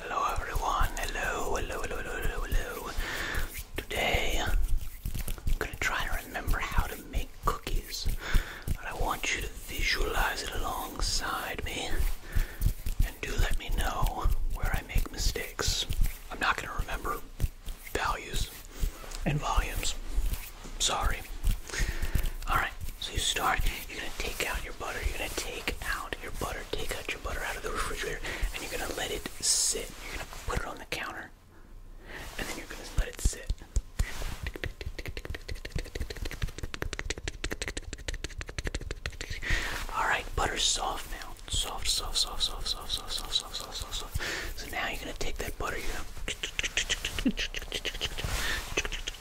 Hello everyone, hello, hello, hello, hello, hello, Today I'm gonna try and remember how to make cookies, but I want you to visualize it alongside me and do let me know where I make mistakes. I'm not gonna remember values and volumes. Sorry. Alright, so you start, you're gonna take out your butter, you're gonna take out your butter, take out your butter out of the refrigerator, and you're gonna let it sit. You're gonna put it on the counter, and then you're gonna let it sit. Alright, butter's soft now. Soft, soft, soft, soft, soft, soft, soft, soft, soft, soft, soft. So now you're gonna take that butter, you're gonna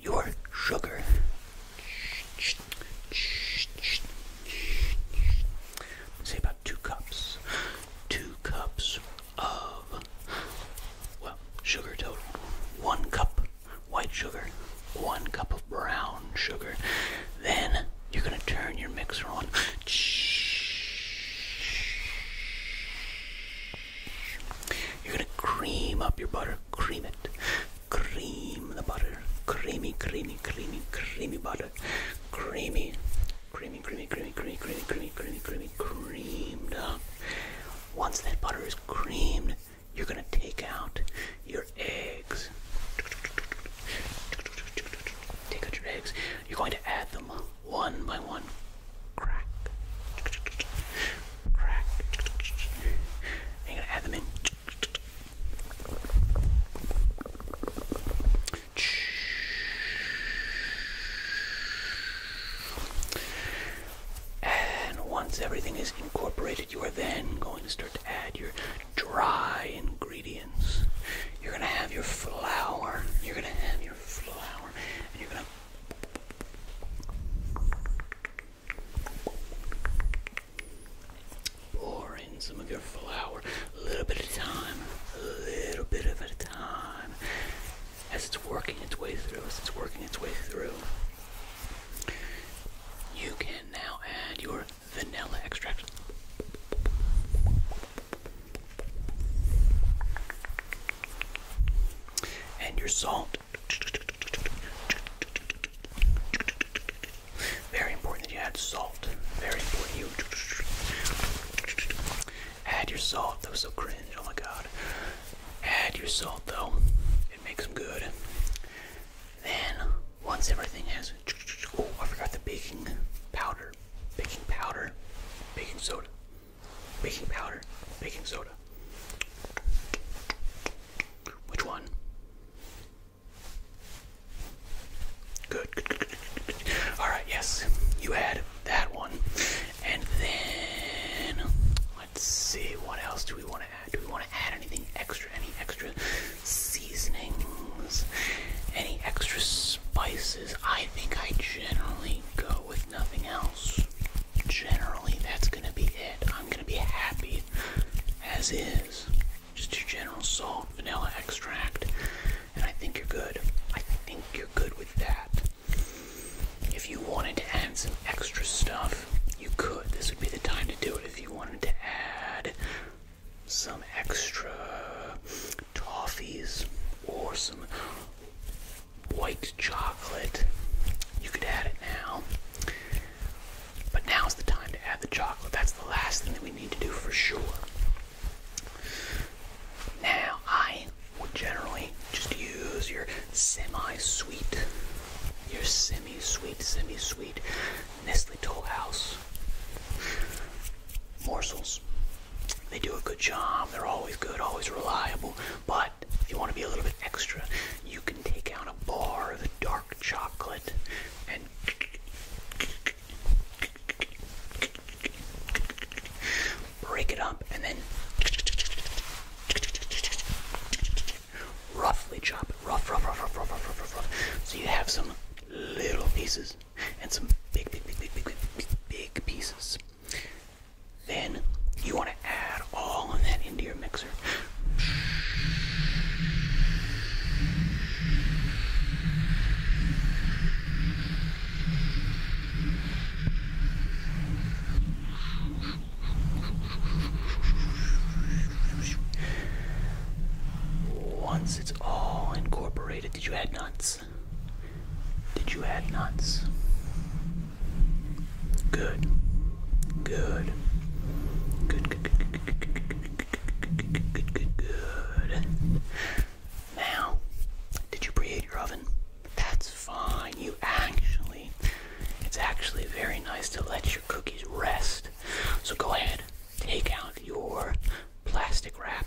your sugar. Say about two cups. Two cups of, well, sugar total. One cup white sugar, one cup of brown sugar. Then you're going to turn your mixer on. You're gonna cream up your butter, cream it, cream the butter, creamy, creamy, creamy, creamy butter, creamy, creamy, creamy, creamy, creamy, creamy, creamy, creamy, creamy, creamed up. Once that butter is creamed, you're gonna take out your eggs. Take out your eggs. You're going to add them one by one, crack, crack. I'm gonna add them in. And once everything is incorporated, you are then going to start to add your dry ingredients. You're gonna have your flour. You're gonna have your flour, and you're gonna Pour in some of your flour, a little bit at a time, a little bit of a time, as it's working its way through, as it's working its way through. You can now add your vanilla extract. And your salt. Very important that you add salt. Very important you add your salt. That was so cringe. Oh my god. Add your salt though. It makes them good. Then once everything has oh I forgot the baking powder. Baking powder. Baking soda. Baking powder. Baking soda. Which one? Good, Alright, yes, you had that one. And then, let's see, what else do we want to add? Do we want to add anything extra? Any extra seasonings? Any extra spices? I think I generally go with nothing else. Generally, that's gonna be it. I'm gonna be happy as is. Just your general salt, vanilla extract, and I think you're good. I think you're good with that. If you wanted to add some extra stuff, you could. This would be the time to do it if you wanted to add some extra toffees or some white chocolate. You could add it now. But now's the time to add the chocolate. That's the last thing that we need to do for sure. Now, I would generally just use your semi sweet, your semi sweet, semi sweet Nestle Toll morsels. They do a good job, they're always good, always reliable, but but if you want to be a little bit extra, you can take out a bar of the dark chocolate and break it up and then roughly chop it. Rough, rough, rough, rough, rough, rough, rough, rough, rough. So you have some little pieces and some big, big, big, big, big, big, big pieces. Then you want to add all of that into your mixer. Once it's all incorporated, did you add nuts? Did you add nuts? Good. Good. Good. Good. Good. Good. Good. Good. Good. Good. Now, did you preheat your oven? That's fine. You actually, it's actually very nice to let your cookies rest. So go ahead, take out your plastic wrap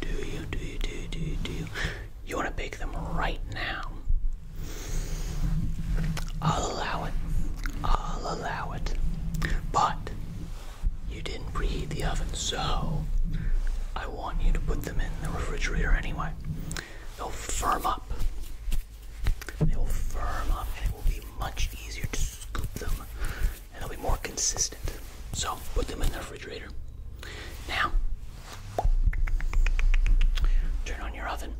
Do you, do you, do you, do you, do you? You want to bake them right now. I'll allow it. I'll allow it. But you didn't preheat the oven, so I want you to put them in the refrigerator anyway. They'll firm up. They will firm up and it will be much easier to scoop them and they'll be more consistent. So put them in the refrigerator. Now, turn on your oven.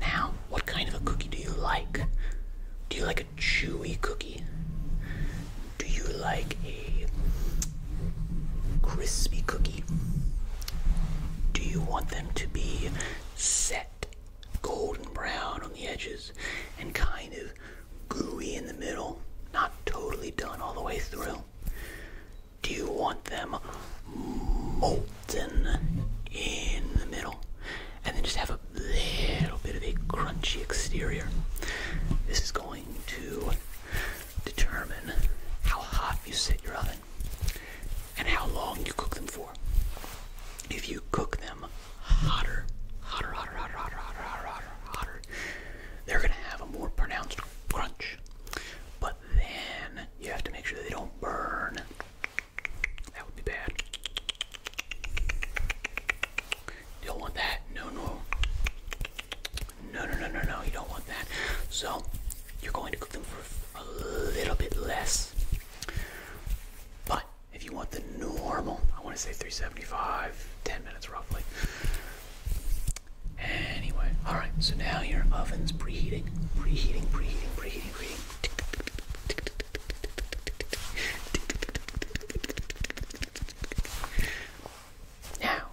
Now, what kind of a cookie do you like? Do you like a chewy cookie? Do you like a crispy cookie? Do you want them to be set golden brown on the edges and kind of gooey in the middle, not totally done all the way through? Do you want them molten in the middle and then just have a little bit of a crunchy exterior? This is going to determine how hot you set your oven and how long you cook them for. If you cook them them hotter, hotter, hotter, hotter, hotter, hotter, hotter, hotter, hotter. They're gonna have a more pronounced crunch, but then you have to make sure they don't burn. That would be bad. You don't want that. No, no. No, no, no, no, no. You don't want that. So you're going to cook them for a little bit less. But if you want the normal, I want to say 375, 10 minutes roughly. Anyway, alright, so now your oven's preheating, preheating, preheating, preheating, preheating. Now,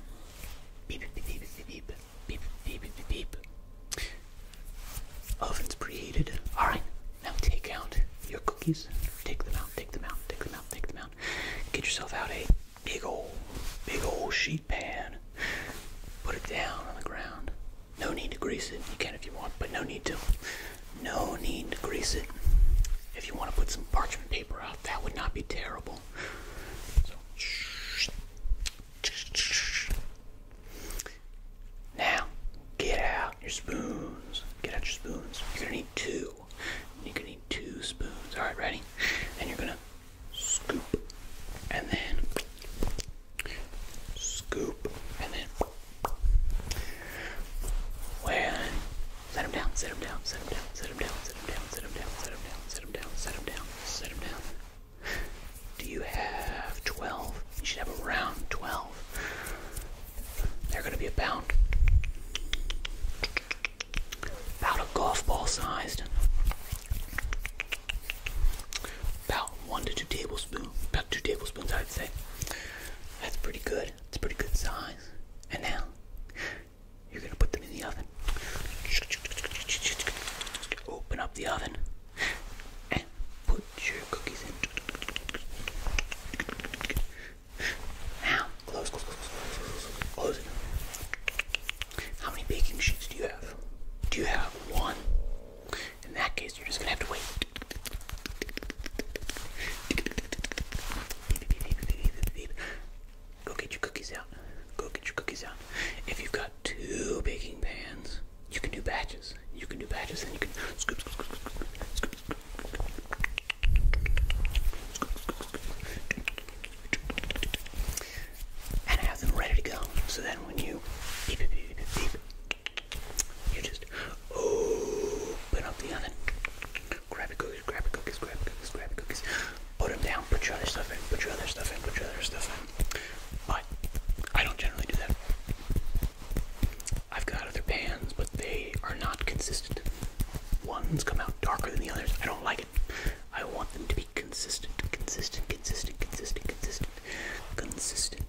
beep, beep, beep, beep, beep, beep, beep, beep, beep. Oven's preheated. Alright, now take out your cookies. Take them out, take them out, take them out, take them out. Get yourself out a big old, big old sheet pan. Put it down on the ground. No need to grease it. You can if you want, but no need to. No need to grease it. If you want to put some parchment paper out, that would not be terrible. now, get out your spoons. Get out your spoons. You're gonna need two two. You're gonna need two spoons. Alright, ready? And you're gonna scoop and then scoop and then when set him down, set him down, set him down, set him down, set him down, set him down, set him down, set him down, set him down, set him down. Do you have twelve? You should have around twelve. They're going to be about, about a golf ball sized, about one to two tablespoons, about two tablespoons, I'd say. That's pretty good. It's a pretty good size. And now, you're going to put them in the oven. Open up the oven and put your cookies in. Now, close, close, close, close, close, close it. How many baking sheets do you have? Do you have one? In that case, you're just gonna have to wait. Go get your cookies out. Go get your cookies out. If you've got two baking pans, you can do batches. You can do batches, and you can scoop, scoop, scoop, scoop, scoop, scoop, scoop, scoop, and I have them ready to go. So then when you beep, beep, beep, beep, you just open up the oven, grab your cookies, grab your cookies, grab your cookies, grab your cookies, put them down, put your other stuff in, put your other stuff in, put your other stuff in. But I don't generally do that. I've got other pans, but they are not consistent. One's come out darker than the others. I don't like it. I want them to be consistent, consistent, consistent, consistent, consistent, consistent.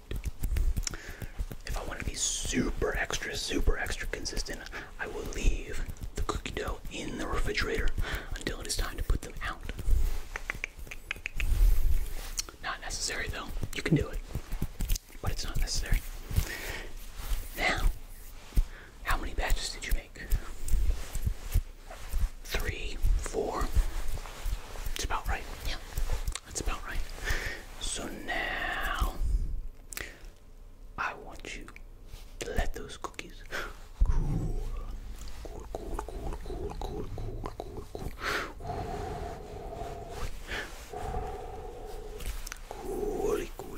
If I want to be super extra, super extra consistent, I will leave the cookie dough in the refrigerator until it is time to put them out. Not necessary though. You can do it but it's not necessary. Now, how many batches did you make? Three, four. It's about right. Yeah, that's about right. So now, I want you to let those cookies cool, cool, cool, cool, cool, cool, cool, cool, cool. Cool, cool,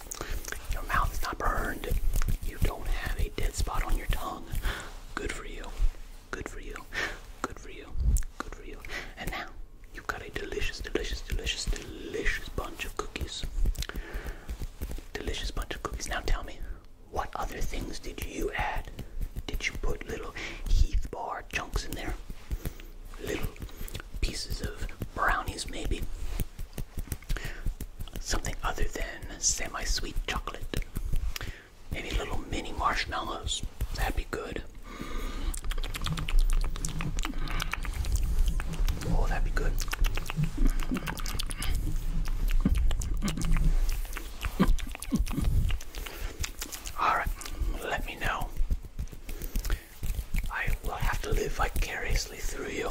Your mouth is not burned. You don't have a dead spot on your tongue. Good for you. Good for you. Good for you. Good for you. And now you've got a delicious, delicious, delicious, delicious bunch of cookies. Delicious bunch of cookies. Now tell me, what other things did you add? Did you put little Heath bar chunks in there? Little pieces of brownies, maybe? something other than semi-sweet chocolate. Maybe little mini marshmallows. That'd be good. Oh, that'd be good. All right, let me know. I will have to live vicariously through you